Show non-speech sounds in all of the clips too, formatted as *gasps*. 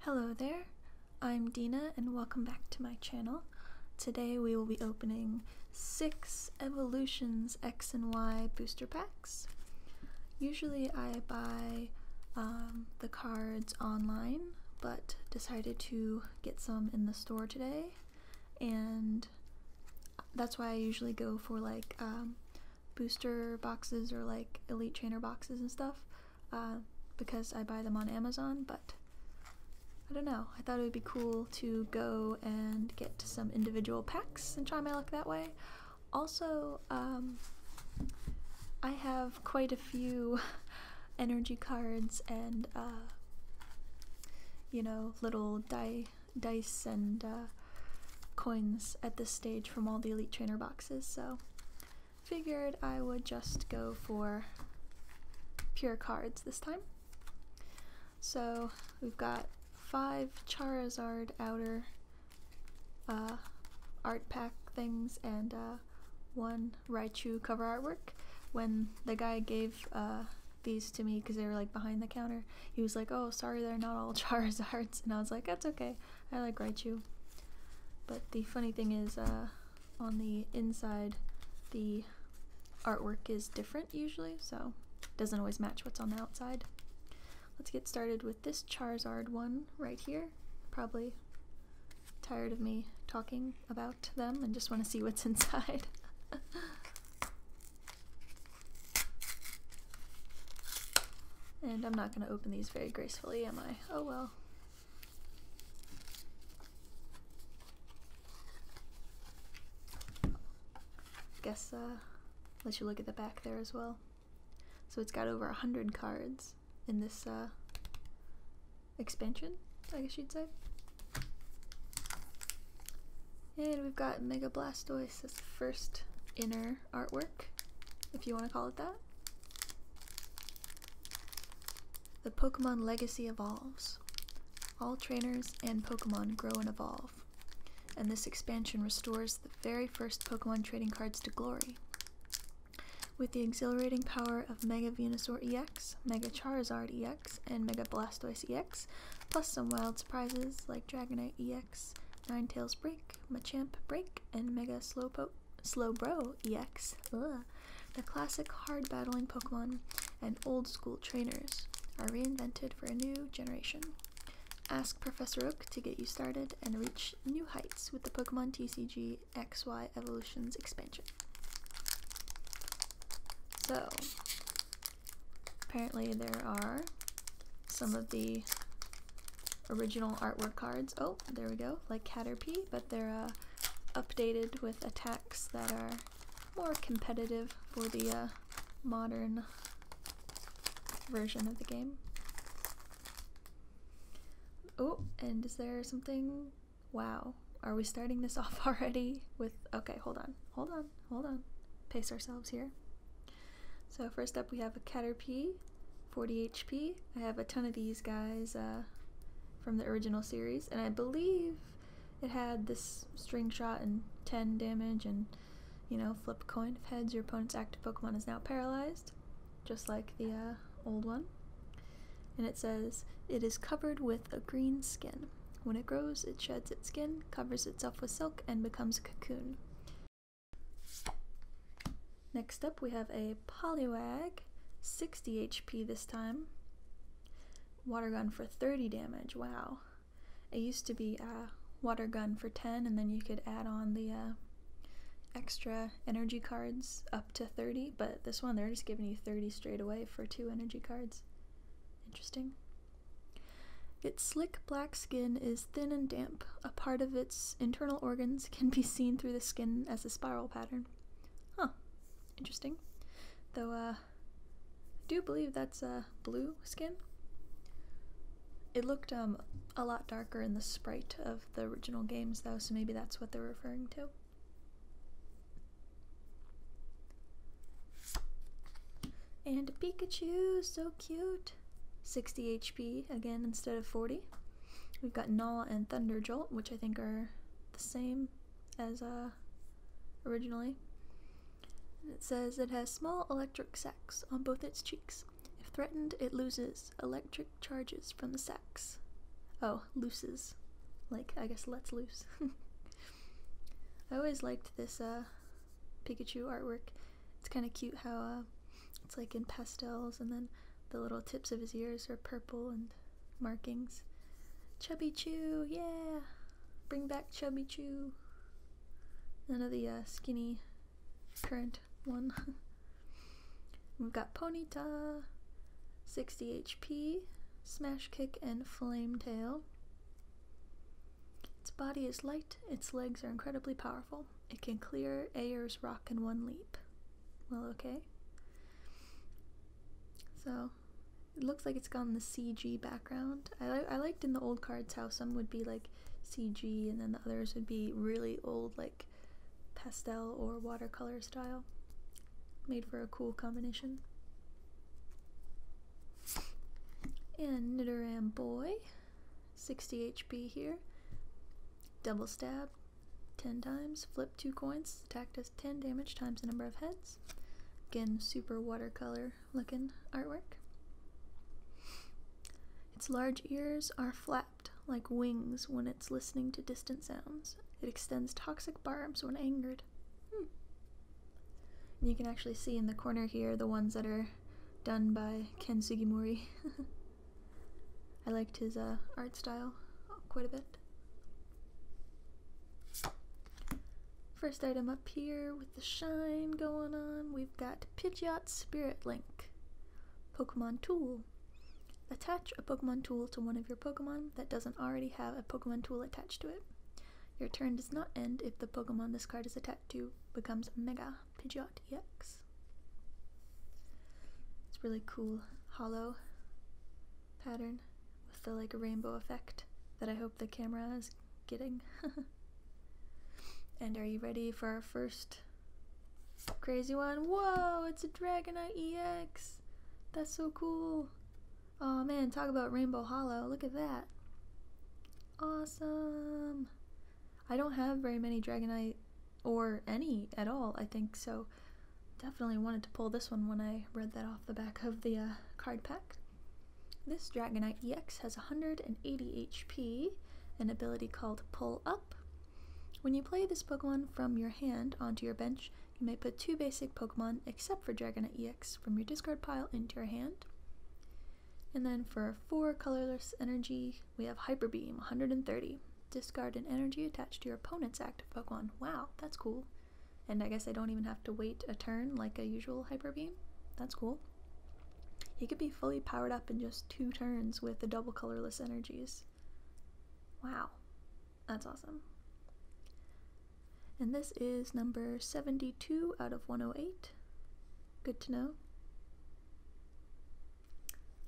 Hello there, I'm Dina and welcome back to my channel. Today we will be opening 6 Evolutions X and Y booster packs. Usually I buy um, the cards online, but decided to get some in the store today, and that's why I usually go for like um, booster boxes or like Elite Trainer boxes and stuff. Uh, because I buy them on Amazon, but I don't know. I thought it would be cool to go and get some individual packs and try my luck that way. Also, um, I have quite a few *laughs* energy cards and, uh, you know, little die, dice and uh, coins at this stage from all the Elite Trainer boxes, so figured I would just go for pure cards this time. So we've got five Charizard outer uh, art pack things and uh, one Raichu cover artwork. When the guy gave uh, these to me because they were like behind the counter, he was like, "Oh, sorry, they're not all *laughs* Charizards," and I was like, "That's okay." I like Raichu. But the funny thing is, uh, on the inside, the artwork is different usually, so it doesn't always match what's on the outside. Let's get started with this Charizard one right here. Probably tired of me talking about them and just want to see what's *laughs* inside. and I'm not going to open these very gracefully, am I? Oh well. Guess uh, let you look at the back there as well. So it's got over a hundred cards in this uh, expansion, I guess you'd say. And we've got Mega Blastoise as first inner artwork, if you want to call it that. The Pokemon legacy evolves. All trainers and Pokemon grow and evolve, and this expansion restores the very first Pokemon trading cards to glory. With the exhilarating power of Mega Venusaur EX, Mega Charizard EX, and Mega Blastoise EX, plus some wild surprises like Dragonite EX, Ninetales Break, Machamp Break, and Mega Slowpoke Slowbro EX, the classic hard battling Pokemon, and old school trainers are reinvented for a new generation. Ask Professor Oak to get you started and reach new heights with the Pokemon TCG XY Evolutions expansion. So, apparently, there are some of the original artwork cards. Oh, there we go, like Caterpie, they're uh, updated with attacks that are more competitive for the uh, modern version of the game. Oh, and is there something? Wow. Are we starting this *laughs* off already with. Okay, hold on, hold on, hold on. Pace ourselves here. So, first up, we have a Caterpie, 40 HP. I have a ton of these guys uh, from the original series, and I believe it had this string shot and 10 damage, and you know, flip a coin. If heads, your opponent's active Pokemon is now paralyzed, just like the uh, old one. And it says, It is covered with a green skin. When it grows, it sheds its skin, covers itself with silk, and becomes a cocoon. Next up we have a Poliwag, 60 HP this time. Water gun for 30 damage, wow. It used to be a water gun for 10 and then you could add on the uh, extra energy cards up to 30, but this one they're just giving you 30 straight away for two energy cards. Interesting. Its slick black skin is thin and damp. A part of its internal organs can be seen through the skin as a spiral pattern. Huh. Interesting. Though, uh, I do believe that's a uh, blue skin. It looked um, a lot darker in the sprite of the original games, though, so maybe that's what they're referring to. And Pikachu, so cute. 60 HP again instead of 40. We've got Null and Thunderjolt, which I think are the same as uh, originally. it says it has small electric sacs on both its cheeks. If threatened, it loses electric charges from the sacs. Oh, looses. Like, I guess let's loose. *laughs* I always liked this uh, Pikachu artwork. It's kind of cute how uh, it's like in pastels and then the little tips of his ears are purple and markings. Chubby Chew, yeah! Bring back Chubby Chew. None of the uh, skinny current one. *laughs* We've got Ponyta, 60 HP, Smash Kick, and Flame Tail. Its body is light, its legs are incredibly powerful. It can clear Ayer's rock in one leap. Well, okay. So it looks like it's got the CG background. I, I liked in the old cards how some would be like CG and then the others would be really old, like pastel or watercolor style. Made for a cool combination. And Nidoram Boy, 60 HP here. Double stab, 10 times. Flip two coins. Attack does 10 damage times the number of heads. Again, super watercolor looking artwork. Its large ears are flapped like wings when it's listening to distant sounds. It extends toxic barbs when angered. Hmm. you can actually see in the corner here the ones that are done by Ken Sugimori. *laughs* I liked his uh, art style quite a bit. First item up here with the shine going on, we've got Pidgeot Spirit Link, Pokemon Tool. Attach a Pokemon Tool to one of your Pokemon that doesn't already have a Pokemon Tool attached to it. Your turn does not end if the Pokemon this card is attached to becomes Mega Pidgeot EX. It's really cool, hollow pattern with the like rainbow effect that I hope the camera is getting. *laughs* and are you ready for our first crazy one? Whoa, it's a Dragonite EX! That's so cool! Oh man, talk about Rainbow Hollow, look at that! Awesome! I don't have very many Dragonite or any at all, I think. So, definitely wanted to pull this one when I read that off the back of the uh, card pack. This Dragonite EX has 180 HP, an ability called Pull Up. When you play this Pokemon from your hand onto your bench, you may put two basic Pokemon, except for Dragonite EX, from your discard pile into your hand. And then for 4 colorless energy, we have Hyper Beam, 130. Discard an energy attached to your opponent's active Pokemon. Wow, that's cool. And I guess I don't even have to wait a turn like a usual Hyper Beam. That's cool. He could be fully powered up in just two turns with the double colorless energies. Wow, that's awesome. And this is number 72 out of 108. Good to know.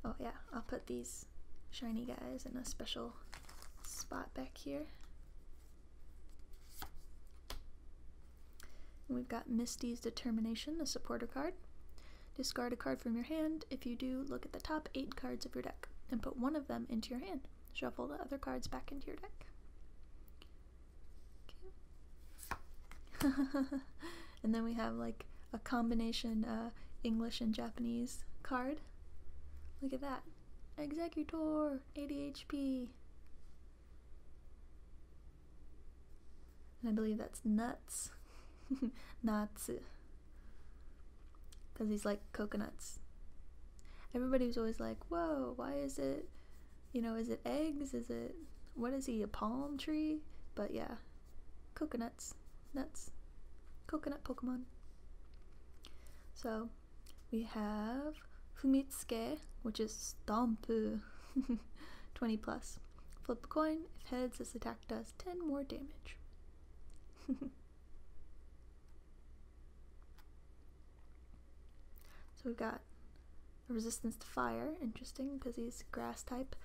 Oh yeah, I'll put these shiny guys in a special spot back here. we've got Misty's Determination, a supporter card. Discard a card from your hand. If you do, look at the top eight cards of your deck and put one of them into your hand. Shuffle the other cards back into your deck. *laughs* and then we have like a combination uh, English and Japanese card Look at that. Executor, ADHP. And I believe that's nuts. *laughs* nuts. Because he's like coconuts. Everybody was always like, whoa, why is it, you know, is it eggs? Is it, what is he, a palm tree? But yeah, coconuts, nuts, coconut Pokemon. So we have Fumitsuke, which is Stomp *laughs* 20 plus. Flip a coin. If heads, this attack does 10 more damage. *laughs* so we've got resistance to fire. Interesting because he's grass type.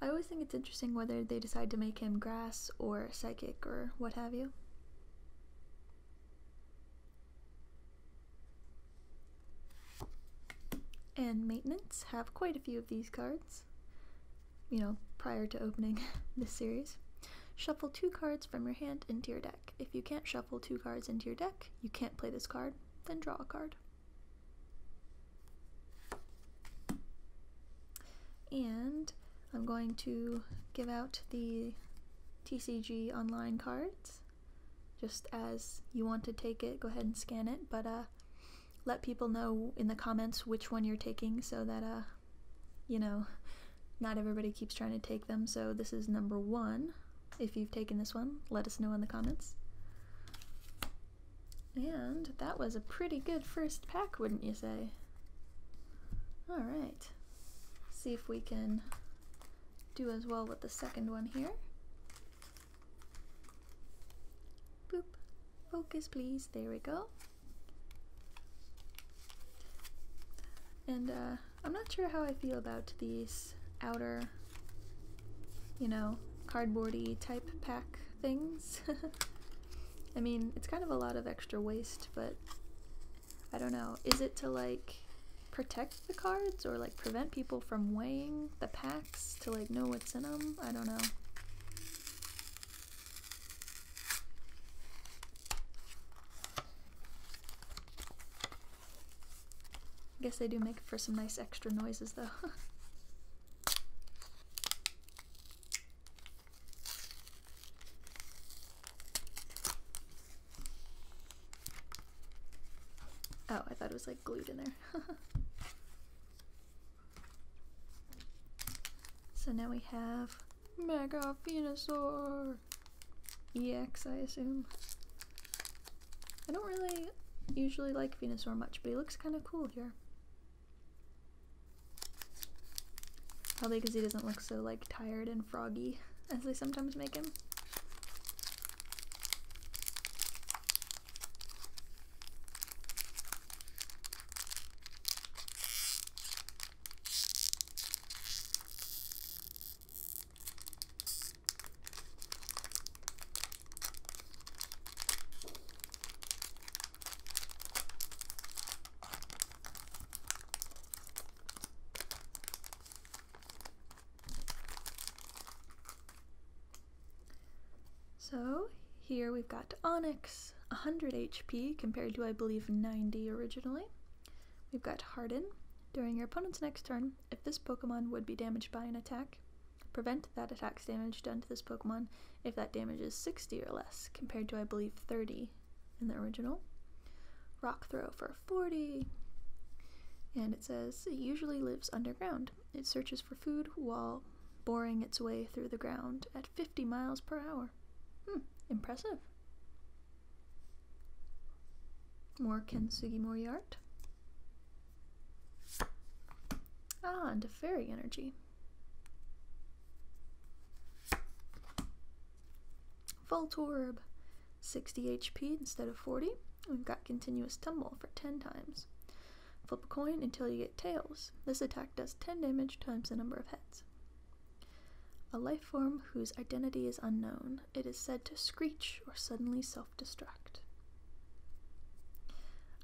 I always think it's interesting whether they decide to make him grass or psychic or what have you. And maintenance have quite a few of these cards, you know, prior to opening *laughs* this series. Shuffle two cards from your hand into your deck. If you can't shuffle two cards into your deck, you can't play this card, then draw a card. And I'm going to give out the TCG online cards. Just as you want to take it, go ahead and scan it, but uh, let people know in the comments which one you're taking so that, uh, you know, not everybody keeps trying to take them. So this is number one. If you've taken this one, let us know in the comments. And that was a pretty good first pack, wouldn't you say? All right. See if we can do as well with the second one here. Boop. Focus, please. There we go. And uh, I'm not sure how I feel about these outer, you know, cardboardy type pack things. *laughs* I mean, it's kind of a lot of extra waste, but I don't know. Is it to like protect the cards or like prevent people from weighing the packs to like know what's in them? I don't know. I guess they do make for some nice extra noises though. *laughs* Oh, I thought it was like glued in there. *laughs* so now we have Mega Venusaur EX, I assume. I don't really usually like Venusaur much, but he looks kind of cool here. Probably because he doesn't look so like tired and froggy as they sometimes make him. So here we've got Onyx, 100 HP compared to I believe 90 originally. We've got Harden. During your opponent's next turn, if this Pokemon would be damaged by an attack, prevent that attack's damage done to this Pokemon if that damage is 60 or less, compared to I believe 30 in the original. Rock throw for 40. And it says it usually lives underground. It searches for food while boring its way through the ground at 50 miles per hour. Hmm, impressive. More Kensugimori art. Ah, and to fairy energy. Voltorb, 60 HP instead of 40. We've got Continuous Tumble for 10 times. Flip a coin until you get tails. This attack does 10 damage times the number of heads. A life form whose identity is unknown. It is said to screech or suddenly self destruct.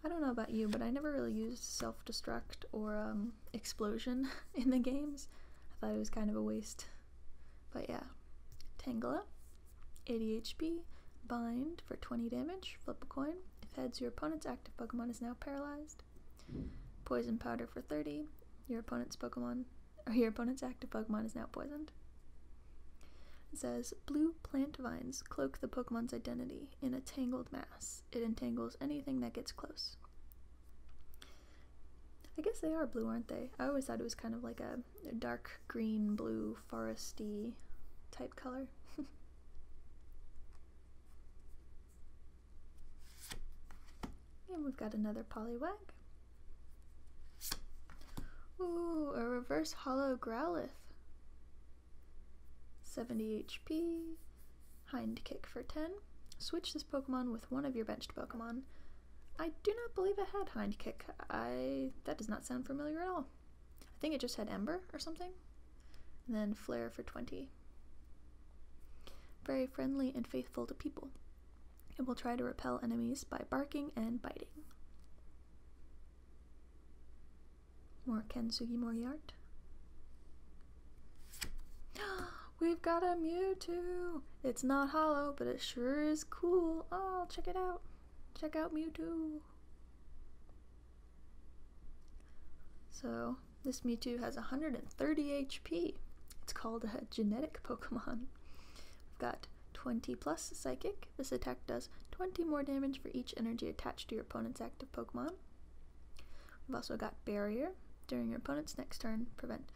I don't know about you, but I never really used self destruct or um, explosion *laughs* in the games. I thought it was kind of a waste. But yeah. Tangela, ADHP, Bind for 20 damage, flip a coin. If heads, your opponent's active Pokemon is now paralyzed. Poison Powder for 30, your opponent's Pokemon, or your opponent's active Pokemon is now poisoned. It says, Blue plant vines cloak the Pokemon's identity in a tangled mass. It entangles anything that gets close. I guess they are blue, aren't they? I always thought it was kind of like a, dark green, blue, foresty type color. *laughs* and we've got another polywag. Ooh, a reverse hollow Growlithe. 70 HP, Hind Kick for 10. Switch this Pokemon with one of your benched Pokemon. I do not believe it had Hind Kick. I that does not sound familiar at all. I think it just had Ember or something. then Flare for 20. Very friendly and faithful to people. It will try to repel enemies by barking and biting. More Kensugi art. *gasps* We've got a Mewtwo! It's not hollow, but it sure is cool. Oh, check it out. Check out Mewtwo. So, this Mewtwo has 130 HP. It's called a genetic Pokemon. We've got 20 plus Psychic. This attack does 20 more damage for each energy attached to your opponent's active Pokemon. We've also got Barrier. During your opponent's next turn, prevent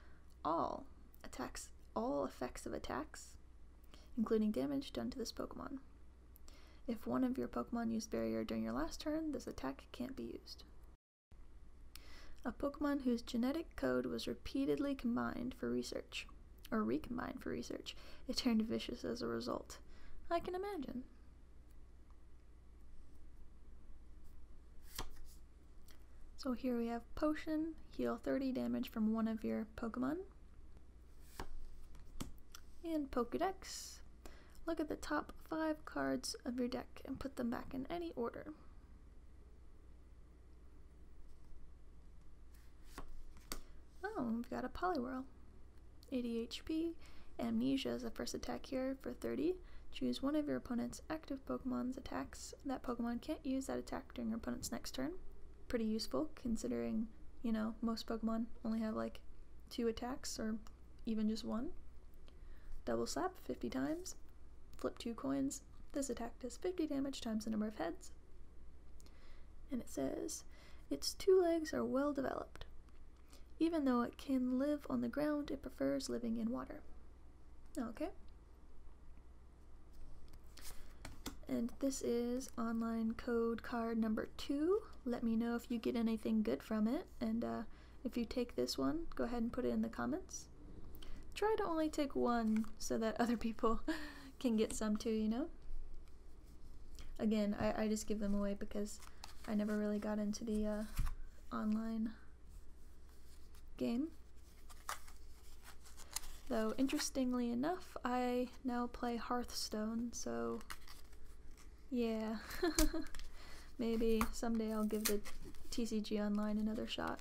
all attacks, all effects of attacks, including damage done to this Pokemon. If one of your Pokemon used Barrier during your last turn, this attack can't be used. A Pokemon whose genetic code was repeatedly combined for research, or recombined for research, it turned vicious as a result. I can imagine. So here we have Potion, heal 30 damage from one of your Pokemon. And Pokedex. Look at the top five cards of your deck and put them back in any order. Oh, we've got a Poliwhirl. ADHP, Amnesia is the first attack here for 30. Choose one of your opponent's active Pokemon's attacks, that Pokemon can't use that attack during your opponent's next turn. Pretty useful considering, you know, most Pokemon only have like two attacks or even just one. Double slap 50 times, flip two coins. This attack does 50 damage times the number of heads. And it says, its two legs are well developed. Even though it can live on the ground, it prefers living in water. Okay. And this is online code card number two. Let me know if you get anything good from it. And uh, if you take this one, go ahead and put it in the comments. Try to only take one so that *laughs* other people can get some too, you know? Again, I, I just give them away because I never really got into the uh, online game. Though, interestingly enough, I now play Hearthstone, so yeah. *laughs* Maybe someday I'll give the TCG Online another shot.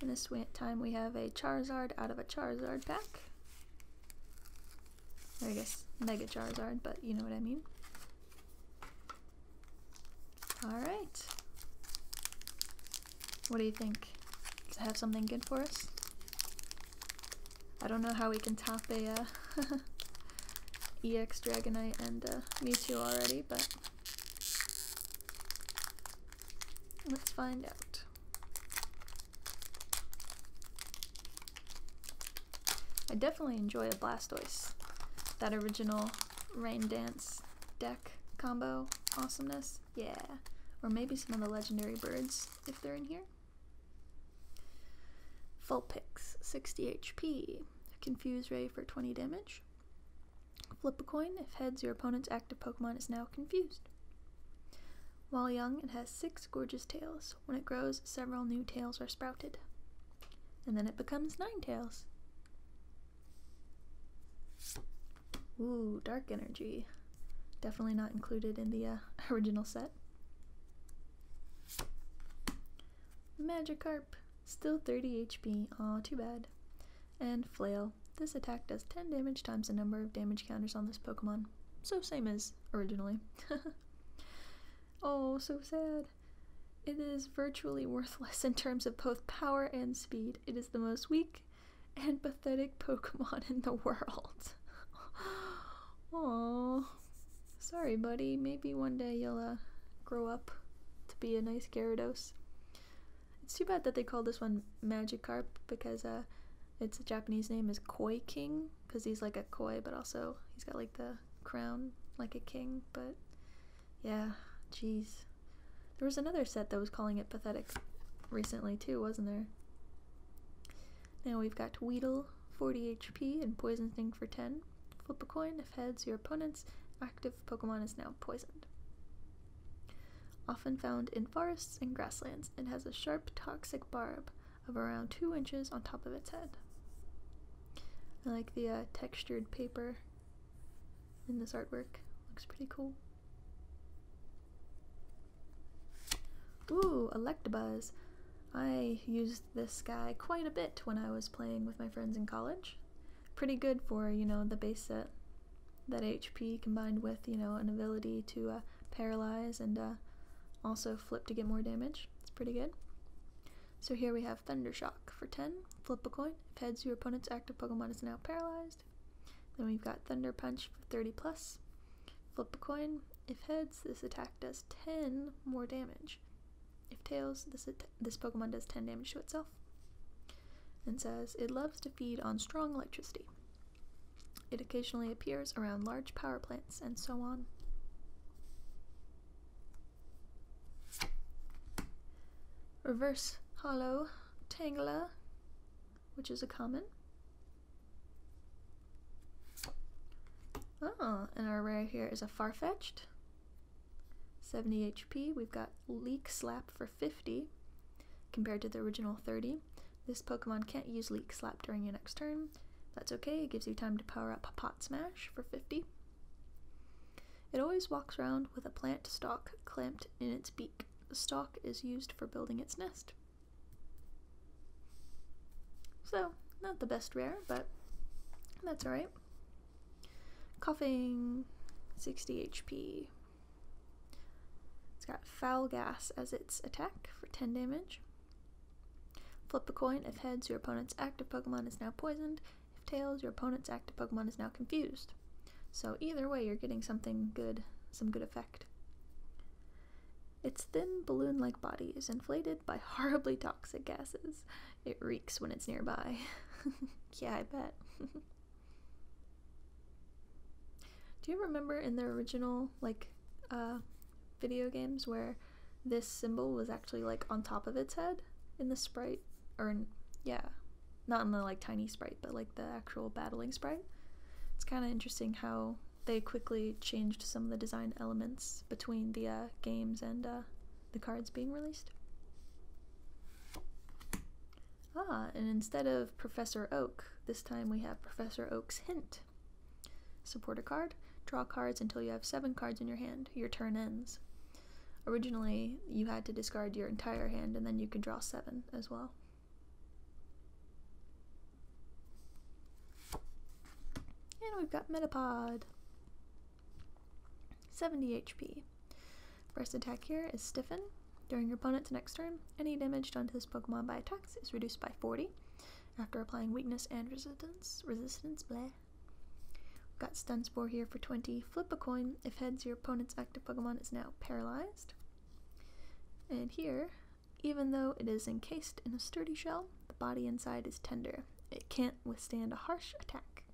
And this time we have a Charizard out of a Charizard pack. I guess Mega Charizard, but you know what I mean. Alright. What do you think? Does it have something good for us? I don't know how we can top a uh, *laughs* EX Dragonite and uh, Mewtwo already, but Let's find out. I definitely enjoy a Blastoise. That original Rain Dance deck combo awesomeness. Yeah. Or maybe some of the legendary birds if they're in here. Vulpix, 60 HP. Confuse Ray for 20 damage. Flip a coin. If heads, your opponent's active Pokemon is now confused. While young, it has six gorgeous tails. When it grows, several new tails are sprouted. And then it becomes nine tails. Ooh, dark energy. Definitely not included in the uh, *laughs* original set. Magikarp. Still 30 HP. Aw, too bad and Flail. This attack does 10 damage times the number of damage counters on this Pokemon. So same as originally. *laughs* oh, so sad. It is virtually worthless in terms of both power and speed. It is the most weak and pathetic Pokemon in the world. Oh, *laughs* sorry, buddy. Maybe one day you'll uh, grow up to be a nice Gyarados. It's too bad that they call this one Magic Carp because uh, its Japanese name is Koi King because he's like a koi, but also he's got like the crown like a king. But yeah, jeez. There was another set that was calling it pathetic recently too, wasn't there? Now we've got Weedle, 40 HP, and Poison Sting for 10. Flip a coin. If heads, your opponent's active Pokemon is now poisoned often found in forests and grasslands, it has a sharp, toxic barb of around 2 inches on top of its head. I like the uh, textured paper in this artwork, looks pretty cool. Ooh, Electabuzz! I used this guy quite a bit when I was playing with my friends in college pretty good for, you know, the base set. That HP combined with, you know, an ability to uh, paralyze and uh, also flip to get more damage. It's pretty good. So here we have Thunder Shock for 10. Flip a coin. If heads, your opponent's active Pokemon is now paralyzed. Then we've got Thunder Punch for 30 plus. Flip a coin. If heads, this attack does 10 more damage. If tails, this, this Pokemon does 10 damage to itself. And says, it loves to feed on strong electricity. It occasionally appears around large power plants and so on. Reverse hollow tangela, which is a common. Oh, and our rare here is a Farfetched. 70 HP. We've got Leak Slap for. 50 compared to the original 30. This Pokemon can't use Leak Slap during your next turn. That's okay, it gives you time to power up Pot Smash for 50. It always walks around with a plant stalk clamped in its beak. The stalk is used for building its nest. So, not the best rare, but that's alright. Coughing, 60 HP. It's got Foul Gas as its attack for 10 damage. Flip a coin. If heads, your opponent's active Pokemon is now poisoned. If tails, your opponent's active Pokemon is now confused. So either way, you're getting something good, some good effect. Its thin, balloon like body is inflated by *laughs* horribly toxic gases. It reeks when it's nearby. *laughs* yeah, I bet. *laughs* Do you remember in the original like uh, video games where this symbol was actually like on top of its head in the sprite or in, yeah, not in the like tiny sprite, but like the actual battling sprite? It's kind of interesting how they quickly changed some of the design elements between the uh, games and uh, the cards being released. Ah, and instead of Professor Oak, this time we have Professor Oak's hint. Support a card, draw cards until you have seven cards in your hand. Your turn ends. Originally, you had to discard your entire hand and then you could draw seven as well. And we've got Metapod. 70 HP. First attack here is Stiffen. During your opponent's next turn, any damage done to this Pokemon by attacks is reduced by 40 after applying weakness and resistance. Resistance, bleh. We've got Stunspore here for 20. Flip a coin. If heads, your opponent's active Pokemon is now paralyzed. And here, even though it is encased in a sturdy shell, the body inside is tender. It can't withstand a harsh attack.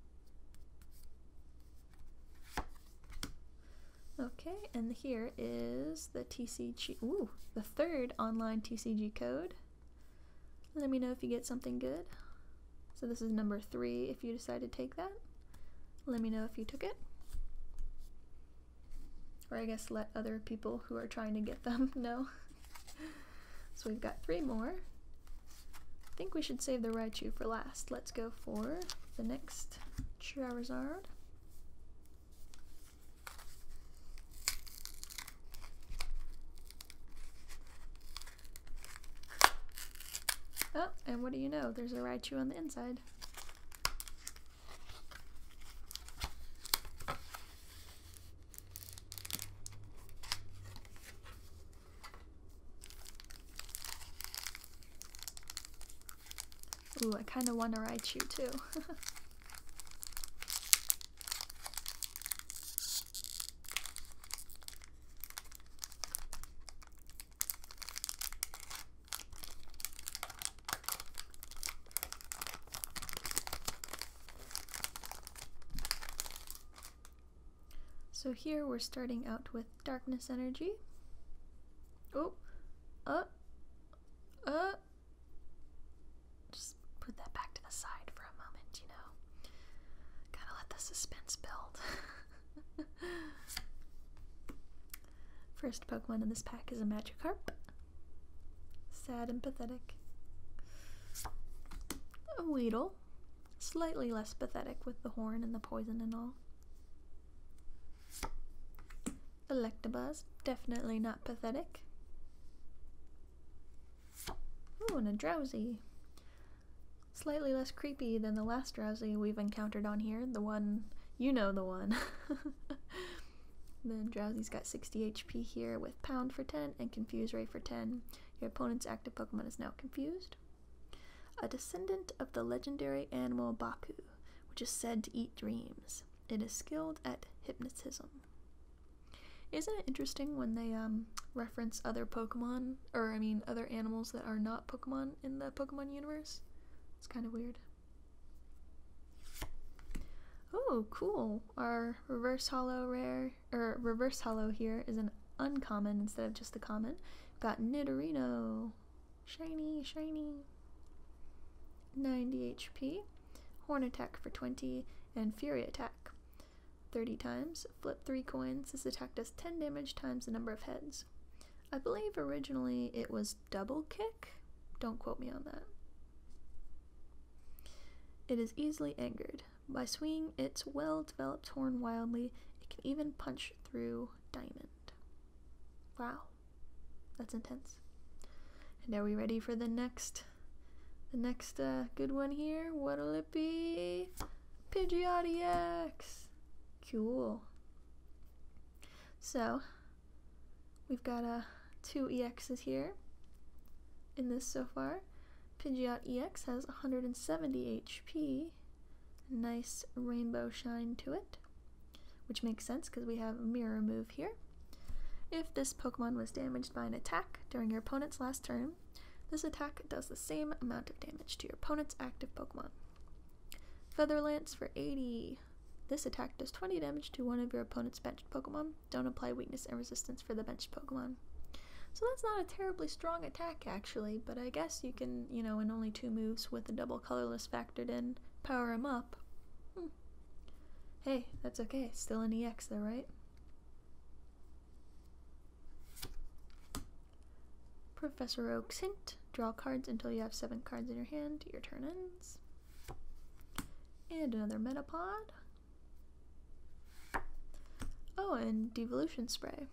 Okay, and here is the TCG, ooh, the third online TCG code. Let me know if you get something good. So this is number three if you decide to take that. Let me know if you took it. Or I guess let other people who are trying to get them *laughs* know. so we've got three more. I think we should save the Raichu for last. Let's go for the next Charizard. Oh, and what do you know? There's a Raichu on the inside. Ooh, I kind of want to write you too. *laughs* So here we're starting out with darkness energy. Oh, uh, uh. Just put that back to the side for a moment, you know. Gotta let the suspense build. *laughs* First Pokemon in this pack is a Magikarp. Sad and pathetic. A Weedle. Slightly less pathetic with the horn and the poison and all. Electabuzz, definitely not pathetic. Oh, and a drowsy. Slightly less creepy than the last drowsy we've encountered on here, the one you know the one. *laughs* the drowsy's got 60 HP here with pound for 10 and confuse ray for 10. Your opponent's active Pokemon is now confused. A descendant of the legendary animal Baku which is said to eat dreams. It is skilled at hypnotism. Isn't it interesting when they um, reference other Pokemon, or I mean, other animals that are not Pokemon in the Pokemon universe? It's kind of weird. Oh, cool. Our reverse hollow rare, or reverse hollow here is an uncommon instead of just a common. got Nidorino. Shiny, shiny. 90 HP. Horn attack for 20, and Fury attack 30 times. Flip 3 coins. has attacked us 10 damage times the number of heads. I believe originally it was double kick. Don't quote me on that. It is easily angered. By swinging its well developed horn wildly, it can even punch through diamond. Wow that's intense. And are we ready for the next, the next uh, good one here? What'll it be? Pidgeotx. Cool. So we've got a uh, two EXs here in this so far. Pidgeot EX has 170 HP. Nice rainbow shine to it which makes sense because we have mirror move here. If this Pokemon was damaged by an attack during your opponent's last turn, this attack does the same amount of damage to your opponent's active Pokemon. Feather Lance for 80. This attack does 20 damage to one of your opponent's bench Pokemon. Don't apply weakness and resistance for the bench Pokemon. So that's not a terribly strong attack, actually, but I guess you can, you know, in only two moves with a double colorless fact factored in, power him up. Hmm. Hey, that's okay. Still an EX though, right? Professor Oak's hint. Draw cards until you have seven cards in your hand. Your turn ends. And another Metapod. Oh, and Devolution Spray.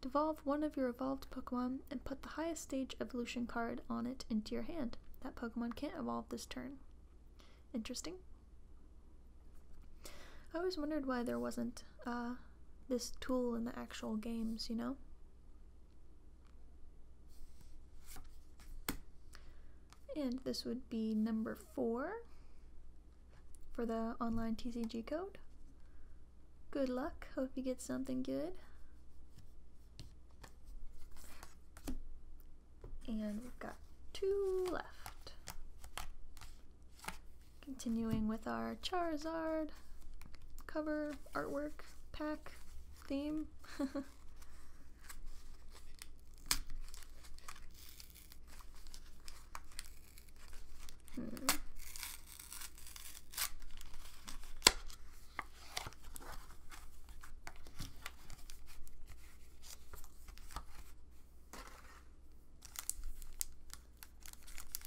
Devolve one of your evolved Pokemon and put the highest stage evolution card on it into your hand. That Pokemon can't evolve this turn. Interesting. I always wondered why there wasn't uh, this tool in the actual games, you know? And this would be number four for the online TCG code. Good luck. Hope you get something good. And we've got two left. Continuing with our Charizard cover, artwork, pack, theme. *laughs* Hmm.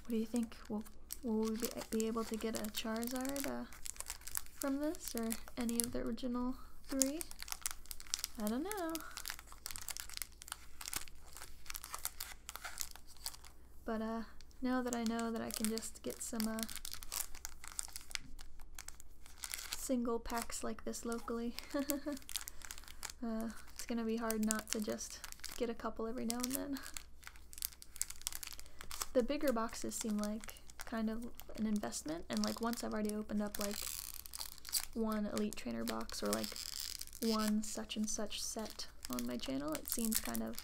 What do you think? Will, will we be able to get a Charizard uh, from this or any of the original three? I don't know. But, uh, now that I know that I can just get some uh, single packs like this locally, *laughs* uh, it's gonna be hard not to just get a couple every now and then. The bigger boxes seem like kind of an investment, and like once I've already opened up like one Elite Trainer box or like one such and such set on my channel, it seems kind of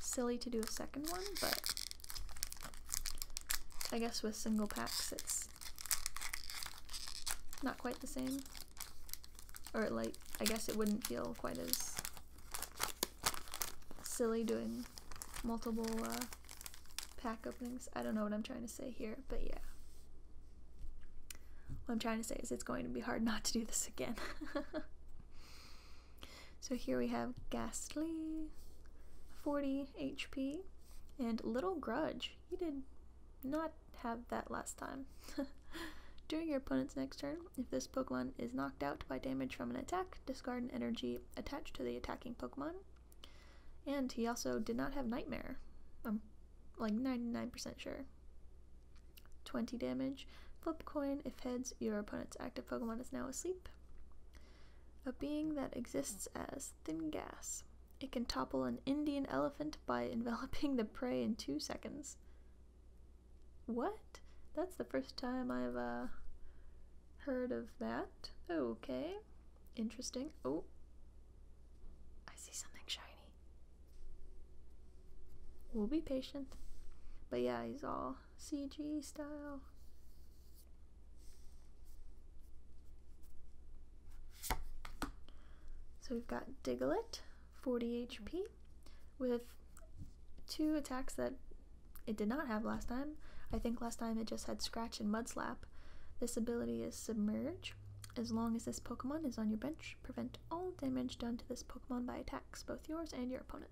silly to do a second one, but I guess with single packs it's not quite the same. Or, like, I guess it wouldn't feel quite as silly doing multiple uh, pack openings. I don't know what I'm trying to say here, but yeah. What I'm trying to say is it's going to be hard *laughs* not to do this again. *laughs* So here we have Ghastly, 40 HP, and Little Grudge. He did not have that last time. *laughs* During your opponent's next turn, if this Pokemon is knocked out by damage from an attack, discard an energy attached to the attacking Pokemon. And he also did not have Nightmare. I'm like 99% sure. 20 damage. Flip coin. If heads, your opponent's active Pokemon is now asleep. A being that exists as thin gas. It can topple an Indian elephant by *laughs* enveloping the prey in two seconds. What? That's the first time I've uh, heard of that. Okay. Interesting. Oh. I see something shiny. We'll be patient. But yeah, he's all CG style. So we've got Diglett, 40 HP, with two attacks that it did not have last time. I think last time it just had Scratch and Mud Slap. This ability is Submerge. As long as this Pokemon is on your bench, prevent all damage done to this Pokemon by attacks, both yours and your opponent's.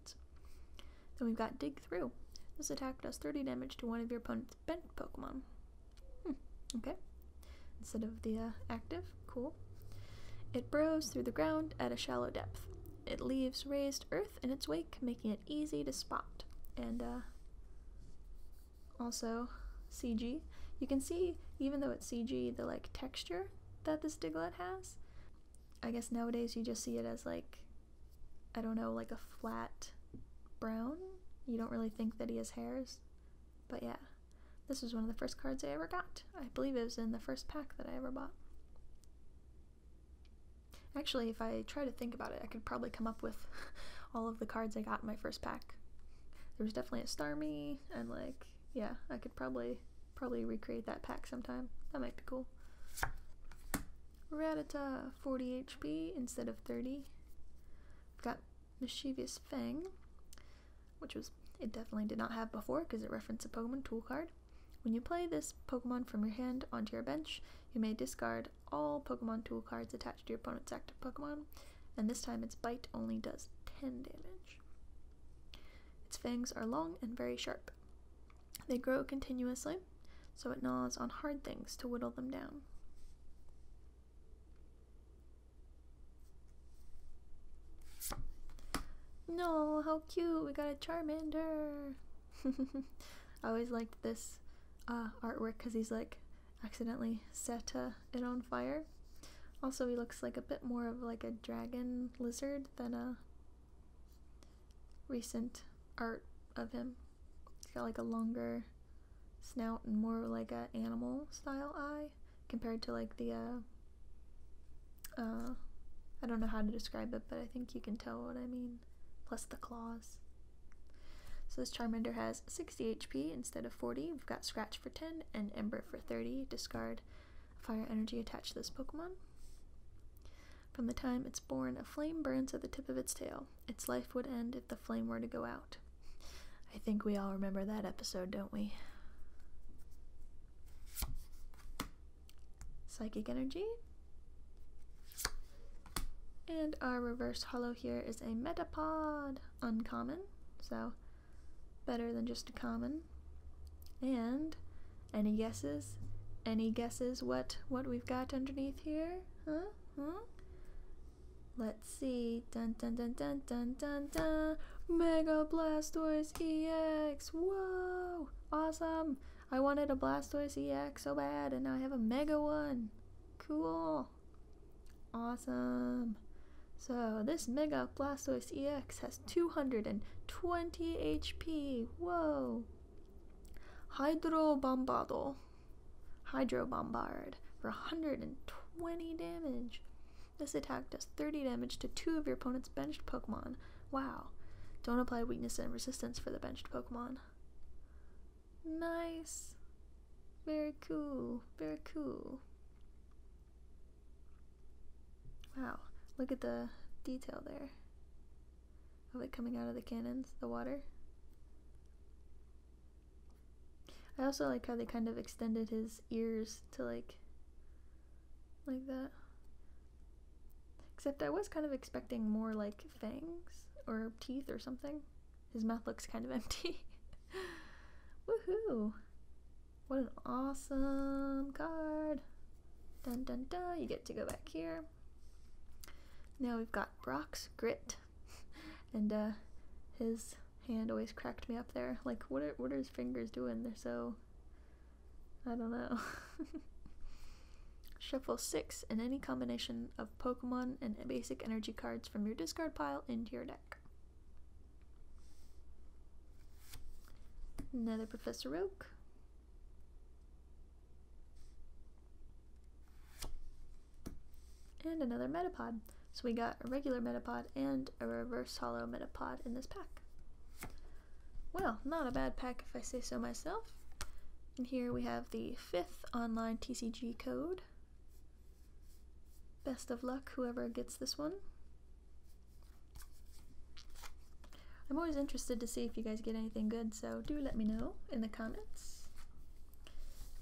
Then we've got Dig Through. This attack does 30 damage to one of your opponent's bent Pokemon. Hmm, okay. Instead of the uh, active, cool. It burrows through the ground at a shallow depth. It leaves raised earth in its wake, making it easy to spot. And uh, also, CG. You can see, even though it's CG, the like texture that this Diglett has. I guess nowadays you just see it as like I don't know, like a flat brown. You don't really think that he has hairs. But yeah, this was one of the first cards I ever got. I believe it was in the first pack that I ever bought. Actually, if I try to think about it, I could probably come up with *laughs* all of the cards I got in my first pack. There was definitely a Starmie, and like, yeah, I could probably probably recreate that pack sometime. That might be cool. Ratata, uh, 40 HP instead of 30. I've got Mischievous Fang, which was it definitely did not have before because it referenced a Pokemon tool card. When you play this Pokemon from your hand onto your bench, you may discard all Pokemon tool cards attached to your opponent's active Pokemon, and this time its bite only does 10 damage. Its fangs are long and very sharp. They grow continuously, so it gnaws on hard things to whittle them down. No, how cute! We got a Charmander! *laughs* I always liked this uh, artwork because he's like accidentally set uh, it on fire. Also, he looks like a bit more of like a dragon lizard than a recent art of him. He's got like a longer snout and more like a animal style eye compared to like the uh, uh I don't know how to describe it, but I think you can tell what I mean. Plus the claws. So this Charmander has 60 HP instead of 40. We've got Scratch for 10 and Ember for 30. Discard Fire Energy attached to this Pokemon. From the time it's born, a flame burns at the tip of its tail. Its life would end if the flame were to go out. I think we all remember that episode, don't we? Psychic energy. And our reverse hollow here is a metapod. Uncommon, so better than just a common. And any guesses? Any guesses what what we've got underneath here? Huh? Huh? Let's see. Dun dun dun dun dun dun dun. Mega Blastoise EX. Whoa! Awesome. I wanted a Blastoise EX so bad, and now I have a Mega one. Cool. Awesome. So this Mega Blastoise EX has 220 HP. Whoa. Hydro Bombardal. Hydro Bombard for 120 damage. This attack does 30 damage to two of your opponent's benched Pokemon. Wow. Don't apply weakness and resistance for the benched Pokemon. Nice. Very cool. Very cool. Wow. Look at the detail there of it coming out of the cannons, the water. I also like how they kind of extended his ears to like like that. Except I was kind of expecting more like fangs or teeth or something. His mouth looks kind of *laughs* empty. Woohoo! What an awesome card! Dun dun dun! You get to go back here. Now we've got Brock's grit, *laughs* and uh, his hand always cracked me up there. Like, what are what are his fingers doing? They're so. I don't know. *laughs* Shuffle six and any combination of Pokemon and basic energy cards from your discard pile into your deck. Another Professor Oak. And another Metapod. So we got a regular Metapod and a reverse hollow Metapod in this pack. Well, not a bad pack if I say so myself. And here we have the fifth online TCG code. Best of luck, whoever gets this one. I'm always interested to see if you guys get anything good, so do let me know in the comments.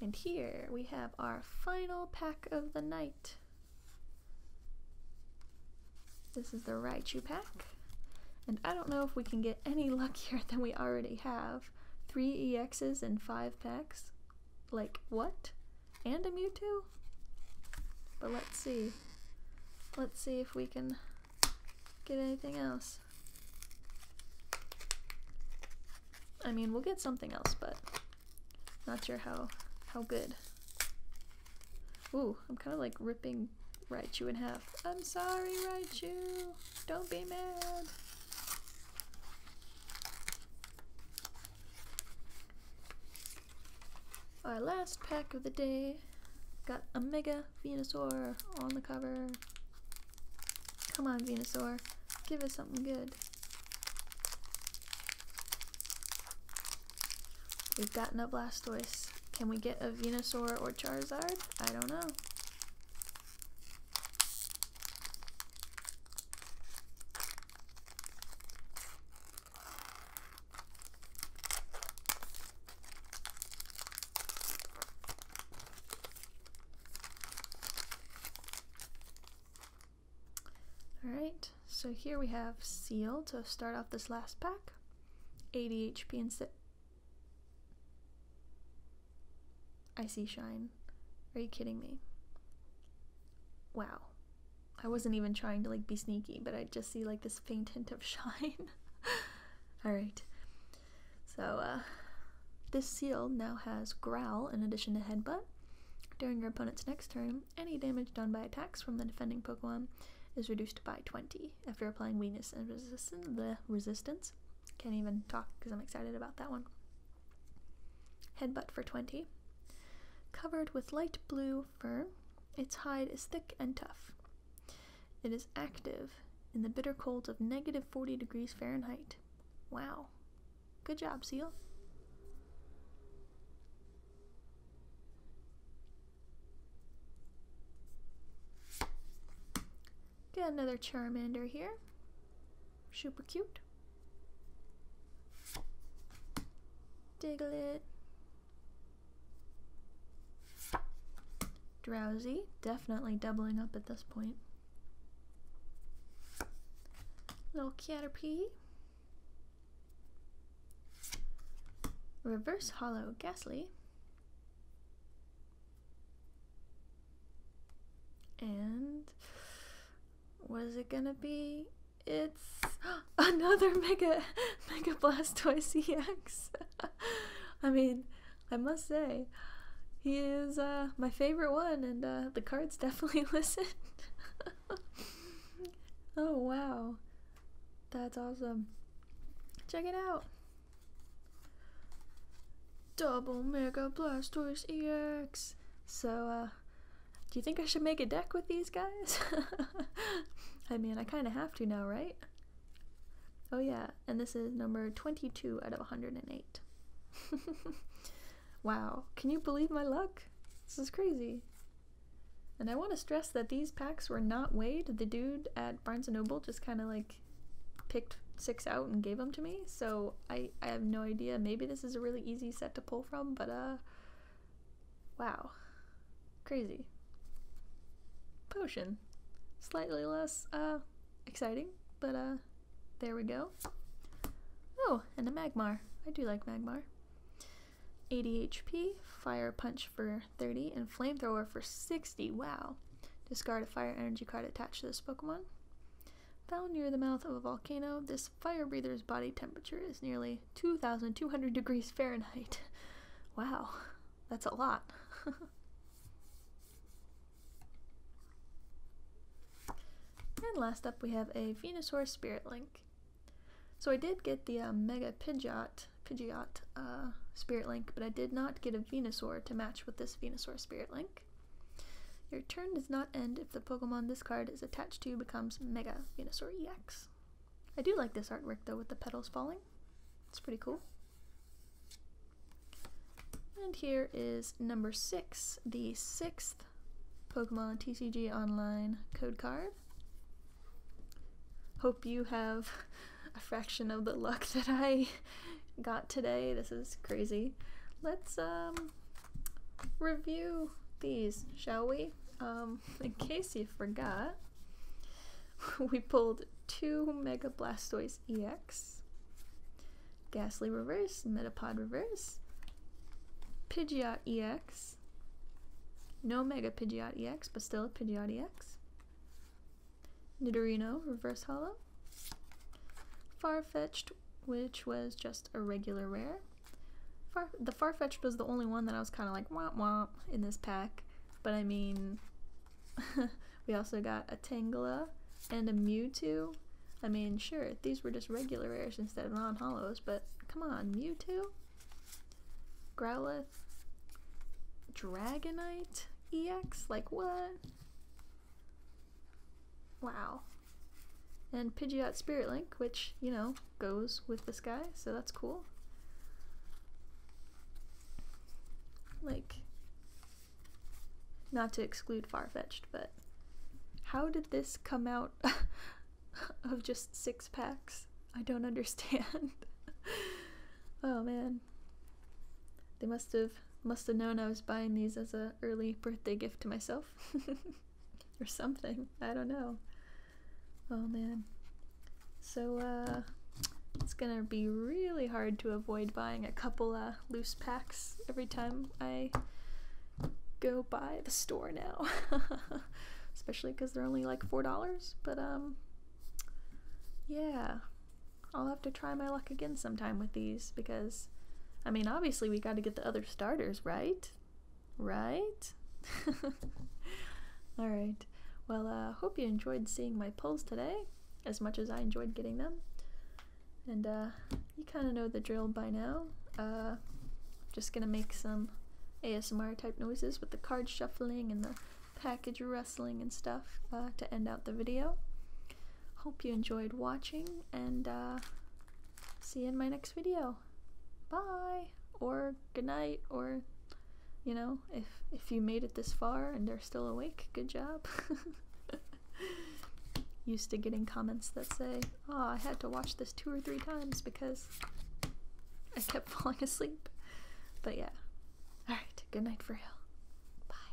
And here we have our final pack of the night. This is the Raichu pack. And I don't know if we can get any *laughs* luckier than we already have. Three EXs and five packs. Like, what? And a Mewtwo? But let's see. Let's see if we can get anything else. I mean, we'll get something else, but not sure how how good. Ooh, I'm kind of like ripping Raichu in half. I'm sorry, Raichu. Don't be mad. Our last pack of the day Got a Mega Venusaur on the cover. Come on, Venusaur. Give us something good. We've gotten a Blastoise. Can we get a Venusaur or Charizard? I don't know. Alright, so here we have Seal to start off this last pack. ADHP and sit. I see Shine. Are you kidding me? Wow. I wasn't even trying to like be sneaky, but I just see like this faint hint of *laughs* shine. Alright. So, uh, this seal now has Growl in addition to Headbutt. During your opponent's next turn, any damage done by attacks from the defending Pokemon is reduced by 20 after applying weakness and resistance. The resistance. Can't even talk because I'm excited about that one. Headbutt for 20. Covered with light blue fur, its hide is thick and tough. It is active in the bitter cold of negative 40 degrees Fahrenheit. Wow. Good job, Seal. Got another Charmander here. Super cute. Diglett. Drowsy, definitely doubling up at this point. Little Caterpie. Reverse Hollow Ghastly. And what is it gonna be? It's *gasps* another Mega *laughs* Mega Blastoise EX. *laughs* *laughs* I mean, I must say, he is uh, my favorite one, and uh, the cards *laughs* definitely *laughs* listen. oh, wow. That's awesome. Check it out. Double Mega Blastoise EX. So, uh, do you think I should make a deck with these guys? I mean, I kind of have to now, right? Oh, yeah, and this is number 22 out of 108. *laughs* wow, can you believe my luck? This is crazy. And I want to stress that these packs were not weighed. The dude at Barnes & Noble just kind of like picked six out and gave them to me, so I, I have no idea. Maybe this is a really easy set to pull from, but uh, wow, crazy potion. Slightly less uh, exciting, but uh, there we go. Oh, and a Magmar. I do like Magmar. 80 HP, Fire Punch for 30, and Flamethrower for 60. Wow. Discard a fire energy card attached to this Pokemon. Found near the mouth of a volcano, this fire breather's body temperature is nearly 2,200 degrees Fahrenheit. *laughs* Wow. That's a lot. *laughs* and last up we have a Venusaur Spirit Link. So I did get the uh, Mega Pidgeot, Pidgeot uh, Spirit Link, but I did not get a Venusaur to match with this Venusaur Spirit Link. Your turn does not end if the Pokemon this card is attached to becomes Mega Venusaur EX. I do like this artwork though with the petals falling. It's pretty cool. And here is number six, the sixth Pokemon TCG Online code card. Hope you have a fraction of the luck *laughs* that I got today. This is crazy. Let's um, review these, shall we? Um, *laughs* in case you forgot, *laughs* we pulled two Mega Blastoise EX Gasly Reverse, Metapod Reverse, Pidgeot EX, no Mega Pidgeot EX, but still a Pidgeot EX, Nidorino Reverse Hollow, Farfetched, which was just a regular rare. Far the Farfetched was the only one that I was kind of like womp womp in this pack, but I mean, *laughs* we also got a Tangela and a Mewtwo. I mean, sure, these were just regular rares instead of non-hollows, but come on, Mewtwo? Growlithe? Dragonite? EX? Like, what? Wow. And Pidgeot Spirit Link, which, you know, goes with this guy, so that's cool. Like, not to exclude far fetched, but how did this come out *laughs* of just six packs? I don't understand. *laughs* oh man. They must have must have known I was buying these as a early birthday gift to myself. *laughs* or something. I don't know. Oh man. So uh it's gonna be really hard to avoid buying a couple loose packs every time I go by the store now. *laughs* Especially because they're only like $4. But, um, yeah. I'll have to try my luck again sometime with these because, I mean, obviously we gotta get the other starters, right? Right? *laughs* Alright. Well, I uh, hope you enjoyed seeing my pulls today as much as I enjoyed getting them. And uh, you kind of know the drill by now. Uh, just gonna make some ASMR type noises with the card shuffling and the package rustling and stuff uh, to end out the video. Hope you enjoyed watching and see you in my next video. Bye! Or good night, or you know, if, if you made it this far and are still awake, good job. *laughs* *laughs* Used to getting comments that say, Oh, I had to watch this two or three times because I kept *laughs* falling asleep. But yeah. Alright, good night for real. Bye.